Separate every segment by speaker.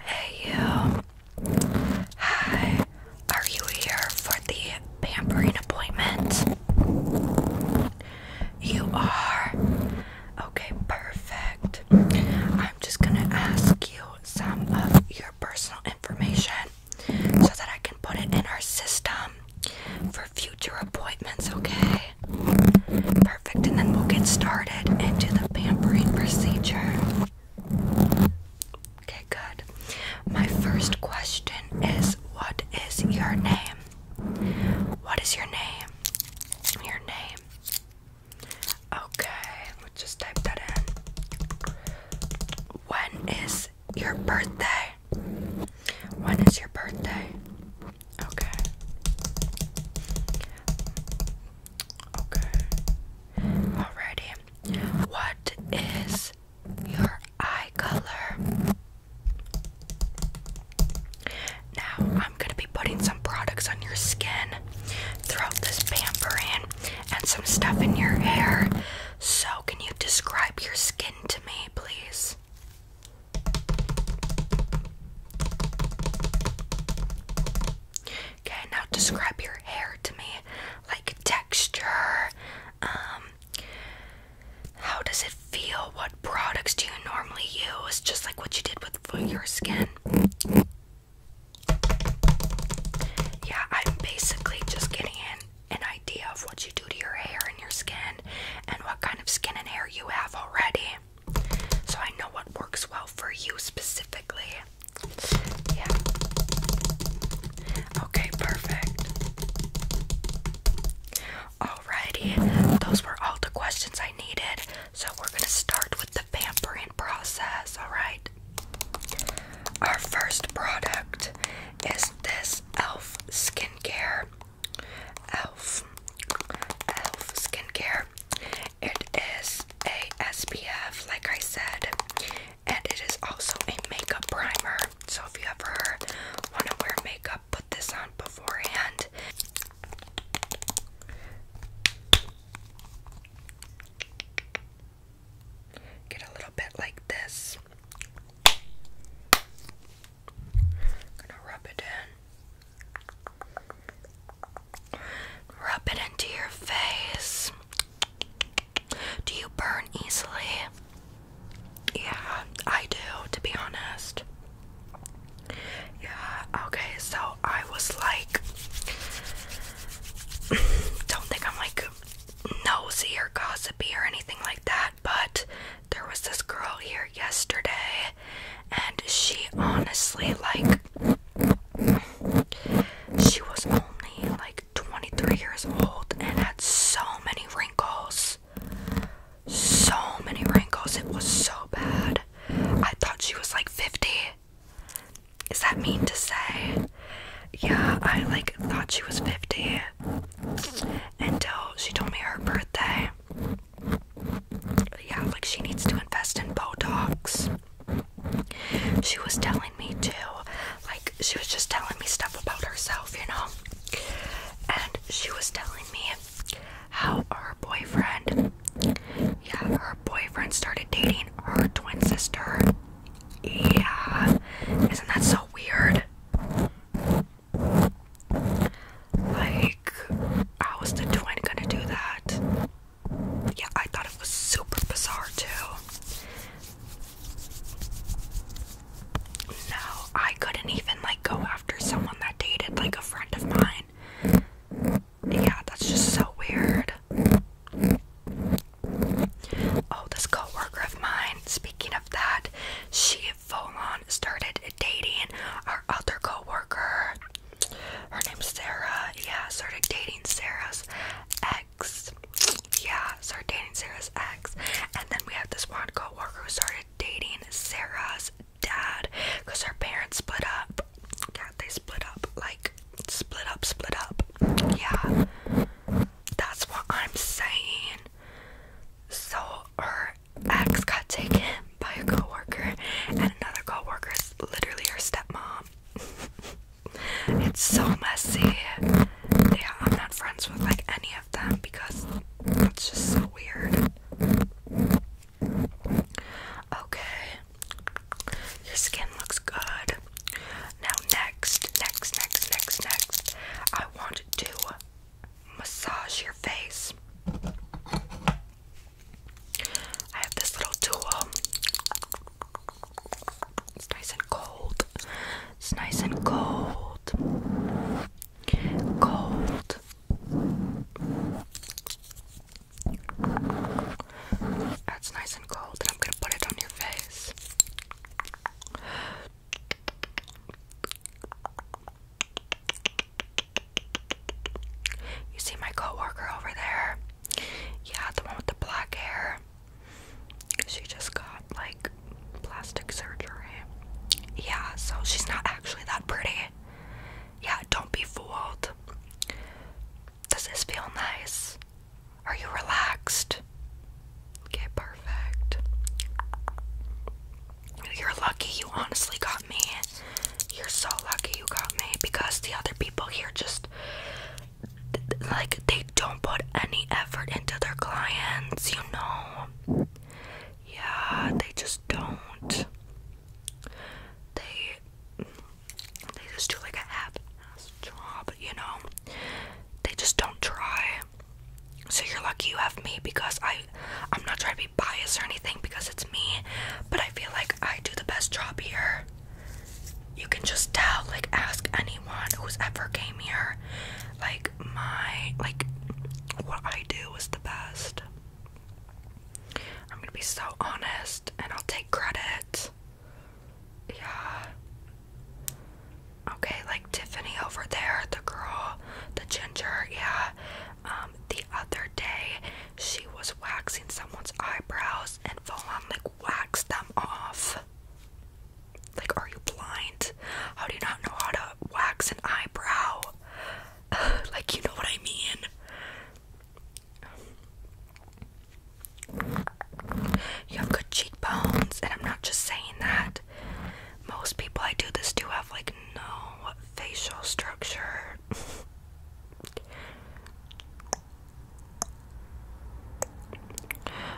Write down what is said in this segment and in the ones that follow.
Speaker 1: Hey you. Hi. Are you here for the pampering appointment? You are. Okay, perfect. I'm just gonna ask you some of your personal information so that I can put it in our system for future appointments, okay? Perfect, and then we'll get started into the pampering procedure. Okay, good. My first question is what is your name? What is your name? Your name. Okay, we'll just type that in. When is your birthday? When is your birthday? Okay. Okay. Alrighty. What is your eye color? Now, I'm going to be putting some products on your skin throughout this pampering and some stuff in your hair. So, can you describe your skin to me, please? Okay, now describe your hair to me. Like texture, um, how does it feel? What products do you normally use? Just like what you did with your skin. Yeah, I'm basically just getting an, an idea of what you do to your hair and your skin and what kind of skin and hair you have already. So I know what works well for you specifically. Yeah. Okay, perfect. Alrighty, those were all the questions I needed. So we're gonna start with the pampering process, alright? Our first product is this ELF skincare. ELF. ELF skincare. It is a SPF, like I said, and it is also a makeup primer. So if you ever want to wear makeup, put this on beforehand. Get a little bit like this. Gonna rub it in. Rub it into your face. Do you burn easily? Yeah, I do, to be honest. Yeah, okay, so I was like, don't think I'm like nosy or gossipy or anything like that, but there was this girl here yesterday, and she honestly, like, she was only like 23 years old and had so many wrinkles. So many wrinkles. It was so bad. I thought she was like 50. Is that mean to say? Yeah, I like thought she was 50 until she told me her birthday. Yeah, like she needs to invest in Botox she was telling me too, like she was just telling me stuff about herself you know and she was telling me how her boyfriend yeah her boyfriend started dating her twin sister yeah isn't that so weird like how is the twin gonna do that yeah, I thought it was super bizarre too. No, I couldn't even like go after someone that dated like a friend of mine. Yeah, that's just so weird. Oh, this coworker of mine, speaking of that, she full on started dating our other coworker. Her name's Sarah. Yeah, started dating Sarah's ex. Yeah, started dating Sarah's ex. And then we have this one coworker who started dating Sarah's dad because her parents split up. Yeah, they split up. Like, split up, split up. Yeah. That's what I'm saying. So her ex got taken by a coworker and another coworker is literally her stepmom. It's so messy. Yeah, I'm not friends with like any of them because it's just so weird. Okay. Your skin looks good. Now next, next, next, next, next, I want to massage your face. I have this little tool. It's nice and cold. It's nice and cold. Cold. That's nice and cold, and I'm gonna put it on your face. You see my coworker over there? Yeah, the one with the black hair. She just got like plastic surgery. Yeah, so she's not actually that pretty. Yeah, don't be fooled. Does this feel nice? Are you relaxed? Okay, perfect. You're lucky you honestly got me. You're so lucky you got me because the other people here just like they don't put any effort into their clients, you know. Yeah, they just don't. They they just do like a half-ass job, you know. They just don't try. So you're lucky you have me because I I'm not trying to be biased or anything because it's me, but I feel like I do the best job here. You can just tell, like ask anyone who's ever came here. Like my like what I do is the best. I'm gonna be so honest and I'll take credit. Yeah. Okay, like Tiffany over there, the girl, the ginger, yeah. Um, the other day she was waxing someone's eyebrows and full on like waxed them off. Like, are you blind? How do you not know how to wax an eyebrow? like, you know what I mean? You have good cheekbones, and I'm not just saying that. Most people I do this do have, like, no facial structure.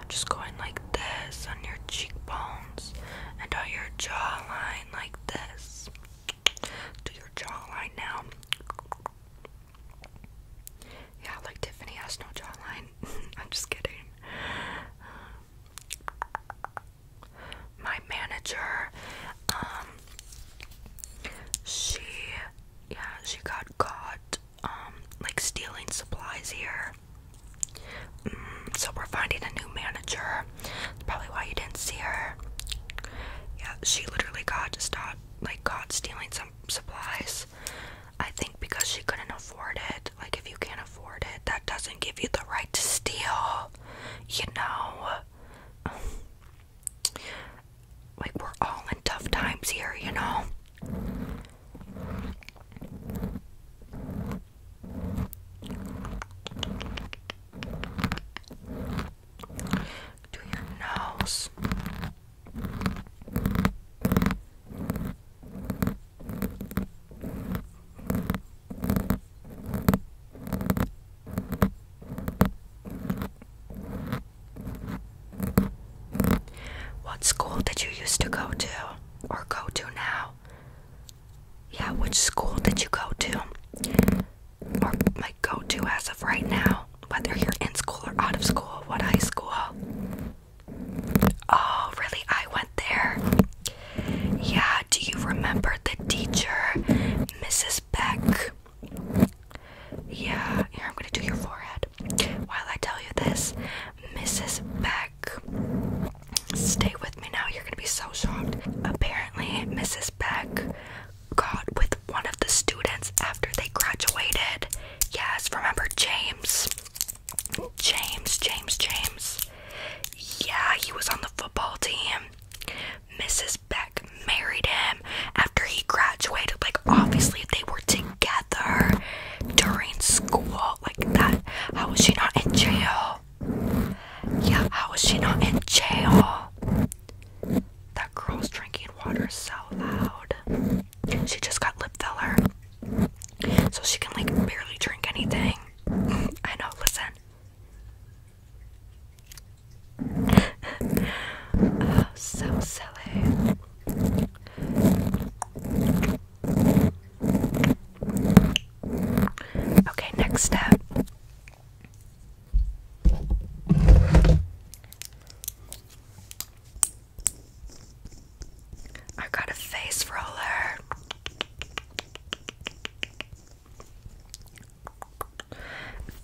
Speaker 1: Just going like this on your cheekbones and on your jawline, like this. Do your jawline now. Yeah, like Tiffany has no jawline. I'm just kidding. My manager, um, she, yeah, she got caught um, like stealing supplies here. Mm, so we're finding a new manager. That's probably why you didn't see her. Yeah, she literally got stopped, like caught stealing some supplies. I think because she couldn't afford it. Like if you can't afford it, that doesn't give you the right to steal. You know like we're all in tough times here, you know. Do your nose. What school did you used to go to or go to now? Yeah, which school did you go to or like go to as of right now? Whether you're in school or out of school, what high school? Oh, really? I went there. Yeah, do you remember the teacher, Mrs. Beck? Yeah, here I'm gonna do your forehead. While I tell you this, Mrs. Beck, stay with me now. You're gonna be so shocked. Apparently, Mrs. Beck got with one of the students after they graduated. Yes, remember James? James, James, James. Yeah, he was on the football team. Mrs. Beck married him after he graduated. Like, obviously, they were together during school. Like, that. How was she not in jail? Yeah, how was she not in jail? That girl's drinking water so loud. She just got lip filler. So she can, like, barely drink anything. I know, listen. oh, so silly. Okay, next step. I got a face roller.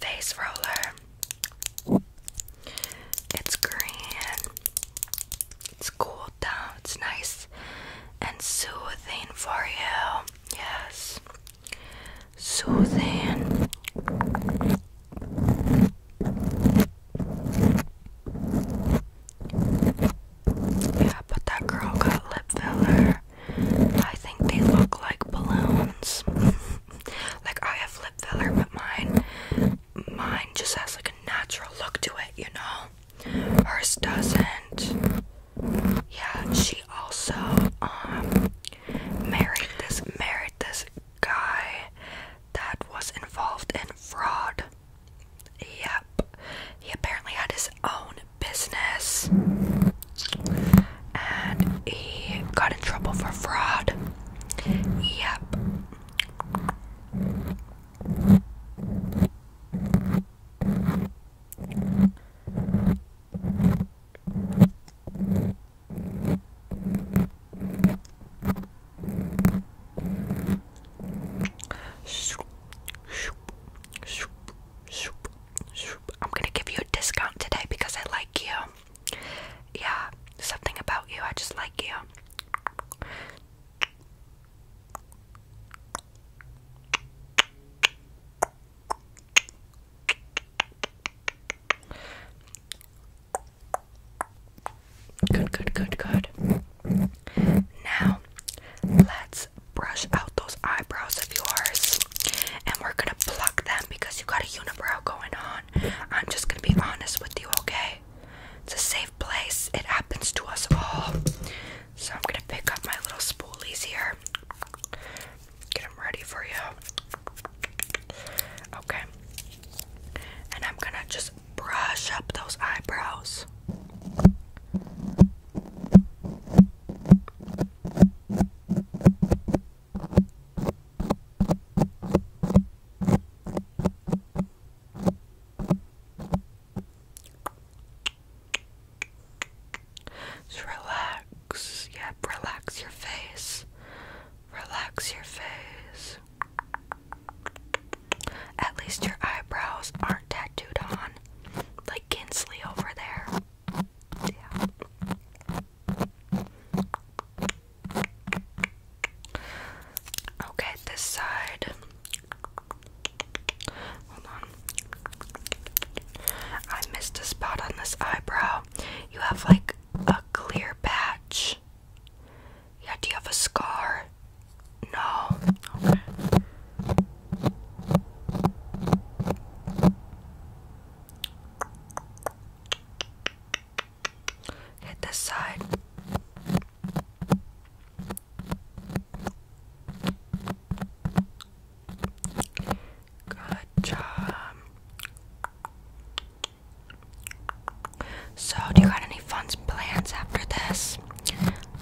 Speaker 1: Face roller. It's green. It's cool down. It's nice and soothing for you. Yes. Soothing. Yeah, but that girl got lip filler. I think they look like balloons. like I have lip filler, but mine mine just has like a natural look to it, you know. Hers doesn't. Yeah, she also um married this married this guy that was involved in fraud. Yep. He apparently had his own business and he got in trouble for fraud. Yep. I'm gonna give you a discount today because I like you yeah, something about you. I just like you. Good, good, good, good. Now, let's brush out those eyebrows of yours. And we're gonna pluck them because you got a unibrow going on. I'm just gonna be honest with you, okay? It's a safe place. It happens to us all. So I'm gonna pick up my little spoolies here. Get them ready for you. Okay. And I'm gonna just brush up those eyebrows. Just relax. Yep, relax your face. Relax your face. At least your eyebrows aren't tattooed on like Kinsley over there. Okay, this side. Hold on. I missed a spot on this eyebrow. You have like a clear patch. Yeah, do you have a scar? No. Hit this side. Good job. So, do you got any fun plans after this?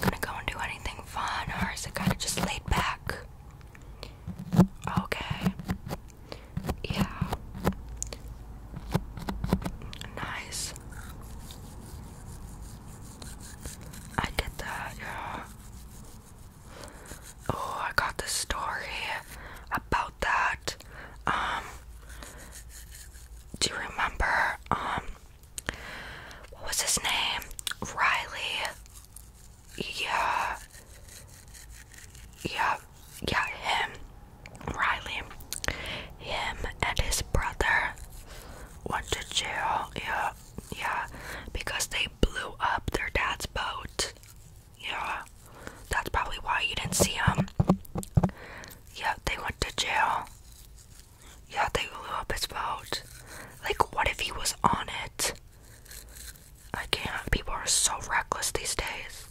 Speaker 1: Gonna go and do anything fun, or is it kind of just laid back? Okay. Yeah. Nice. I get that, yeah. Oh, I got the story about that. Um do you remember um what was his name? Riley. Yeah. Yeah, yeah, him, Riley, him and his brother went to jail. Yeah, yeah, because they blew up their dad's boat. Yeah, that's probably why you didn't see him. Yeah, they went to jail. Yeah, they blew up his boat. Like, what if he was on it? I can't. People are so reckless these days.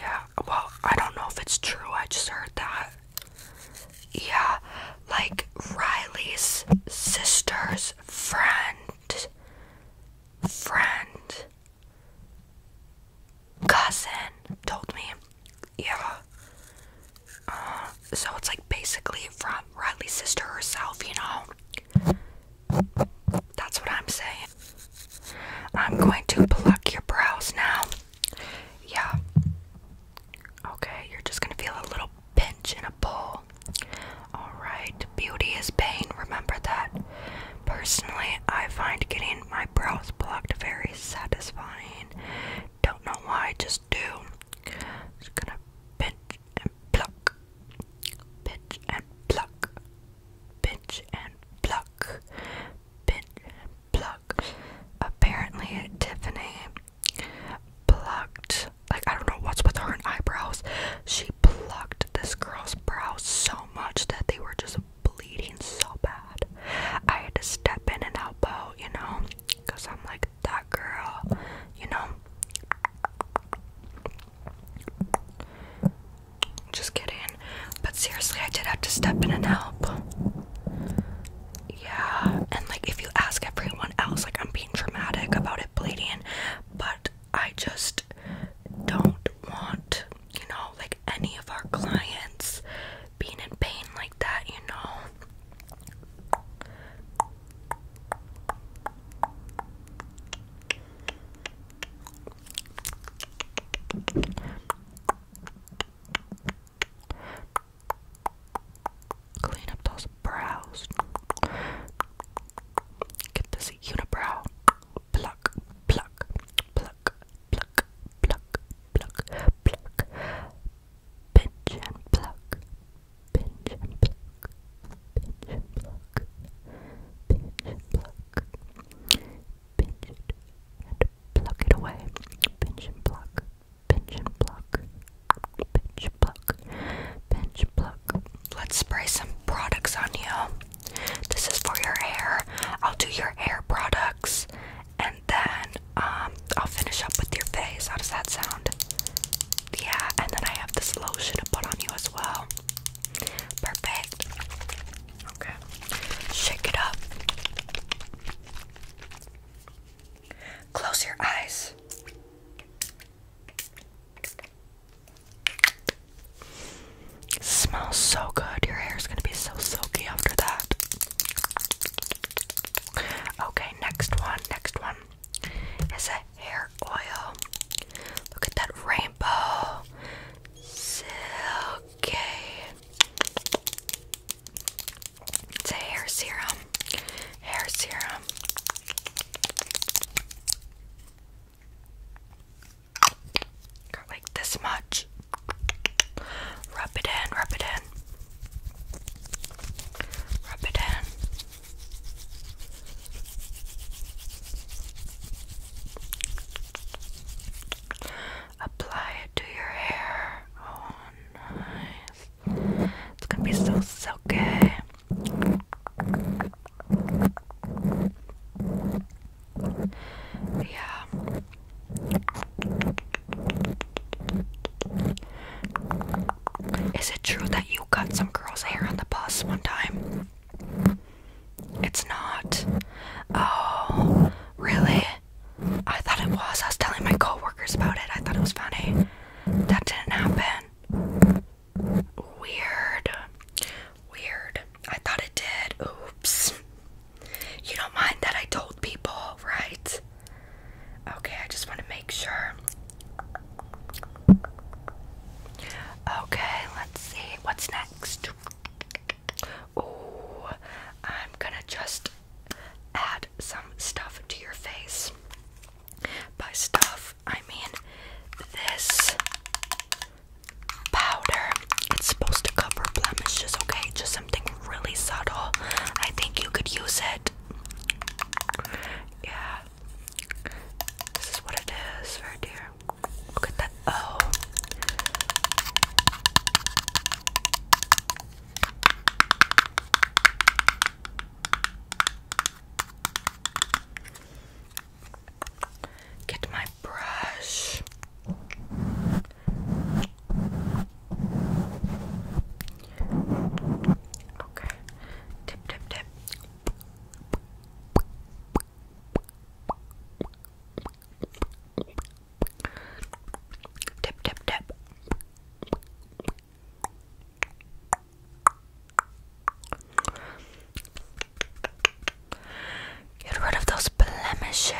Speaker 1: Yeah, well, I don't know if it's true. I just heard that. Yeah, like Riley's sister's friend, friend, cousin told me. Yeah. Uh, so it's like basically from Riley's sister herself, you know? That's what I'm saying. I'm going to pluck your brows now. Yeah. Okay, you're just going to feel a little pinch and a pull. Alright, beauty is pain, remember that. Personally, I find getting my brows plucked very satisfying. Don't know why, just do. Just gonna pinch and pluck, pinch and pluck, pinch and pluck bit, pluck. Apparently, Tiffany plucked, like, I don't know what's with her eyebrows. She plucked this girl's brows so much that they were just bleeding so bad. I had to step in and help out, you know, because I'm like, that girl, you know. Just kidding. But seriously, I did have to step in and help. Yeah, and like if you ask everyone else, like I'm being dramatic about it bleeding, but I just don't want, you know, like any of our clients being in pain like that, you know. Clean up those brows. Get this unibrow. Pluck, pluck, pluck, pluck, pluck, pluck, pluck. Pinch and pluck. Pinch and pluck. Pinch and pluck. Pinch and pluck pinch it and pluck it away. Pinch and pluck, pinch and pluck, pinch pluck, pinch pluck. Let's spray some products on you. This is for your hair. I'll do your hair products and then um I'll finish up with your face. How does that sound? Yeah, and then I have this lotion to put on you as well. Perfect. Okay. Shake it up. Close your eyes. smells so good. Your hair is going to be so silky after that. Okay, next one. Next one is a hair oil. Look at that rainbow. Silky. It's a hair serum. Hair serum. Got like this much. Rub it in, rub it in. Rub it in. Apply it to your hair. Oh, nice. It's gonna be so silky. Yeah. Is it true that you got some girl's hair on the bus one time? It's not. Oh, really? I thought it was. I was telling my coworkers about it. I thought it was funny. That didn't happen. Weird. Weird. I thought it did. Oops. You don't mind that I told people, right? Okay, I just want to make sure. Okay, let's see. What's next? Oh, I'm gonna just add some stuff to your face. By stuff, I mean this powder. It's supposed to cover blemishes, okay? Just something really subtle. I think you could use it. Yeah. This is what it is, right here. Look at that. Oh. Get my brush. Okay. Tip, tip, tip. Tip, tip, tip. Get rid of those blemishes,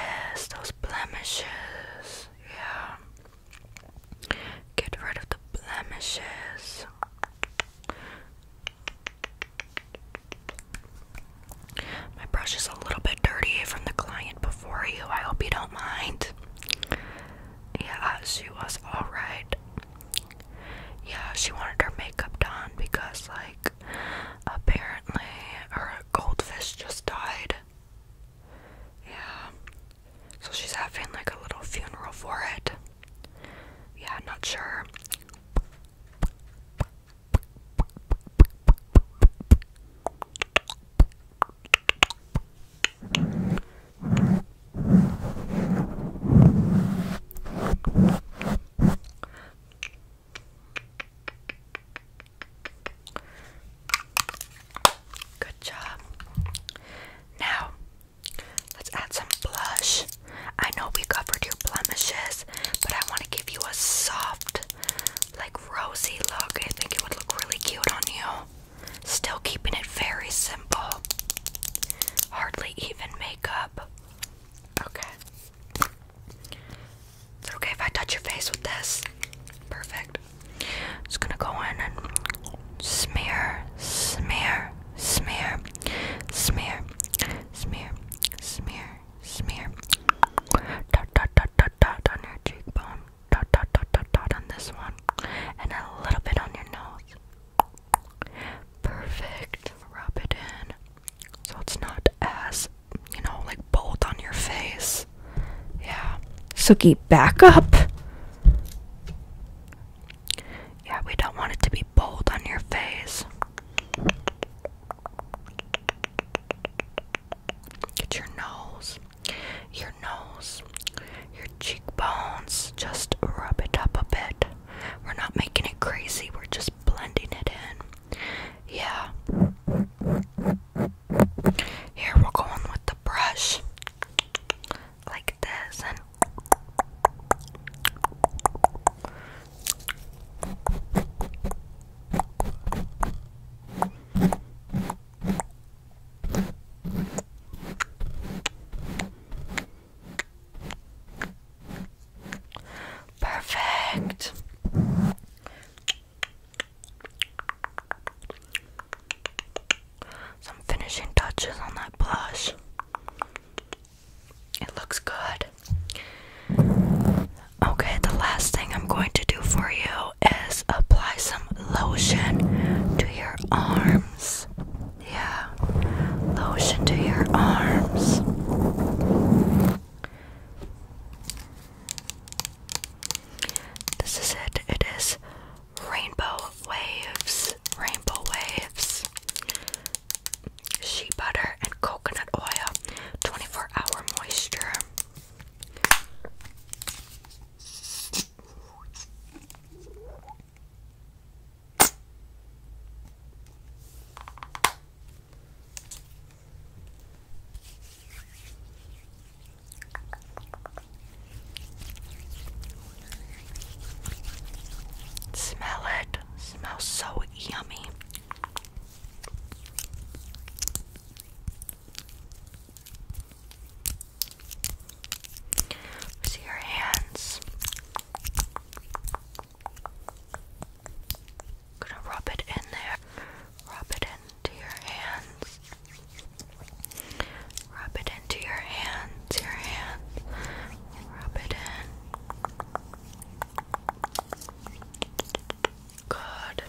Speaker 1: those blemishes, yeah. Get rid of the blemishes. My brush is a little bit dirty from the client before you. I hope you don't mind. Yeah, she was alright. Yeah, she wanted her makeup done because, like, apparently her goldfish just died. Yeah. So she's having, like, a little funeral for it. Yeah, not sure. Good job. Now, let's add some blush. I know we covered your blemishes, but I want to give you a soft, like rosy look. I think it would look really cute on you. Still keeping it very simple. Hardly even makeup. Okay. Is it okay if I touch your face with this? Perfect. Just gonna go in and smear, smear, smear, smear, smear, smear, smear, Dot dot dot dot dot on your cheekbone. Dot dot dot dot dot on this one. And a little bit on your nose. Perfect. Rub it in. So it's not as, you know, like bold on your face. Yeah. Suki, back up. Yeah, we don't want it to be bold on your face. Get your nose, your nose, your cheekbones. Just rub it up a bit. We're not making it crazy, we're just blending it in. Yeah. Here we're going with the brush. Like this, Perfect. Some finishing touches on that blush. It looks good. Okay, the last thing I'm going to do for you is apply some lotion to your arms. Yeah, lotion to your arms. This is it. It is rainbow waves. Rainbow waves shea butter and coconut oil 24 hour moisture Smell it. Smells so yummy. See your hands. Gonna rub it in there. Rub it into your hands. Rub it into your hands, your hands. Rub it in. Good.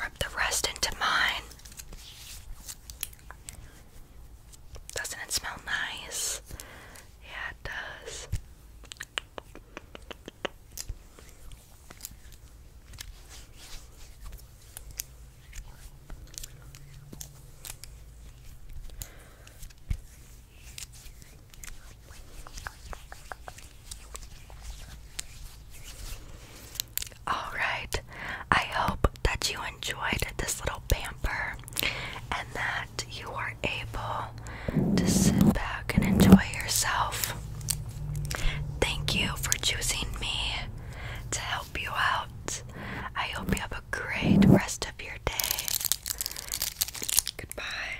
Speaker 1: Rub the rest into mine. Doesn't it smell nice? Yeah, it does. All right, I hope that you enjoyed this little pamper and that you are able to sit back and enjoy yourself. Thank you for choosing me to help you out. I hope you have a great rest of your day. Goodbye.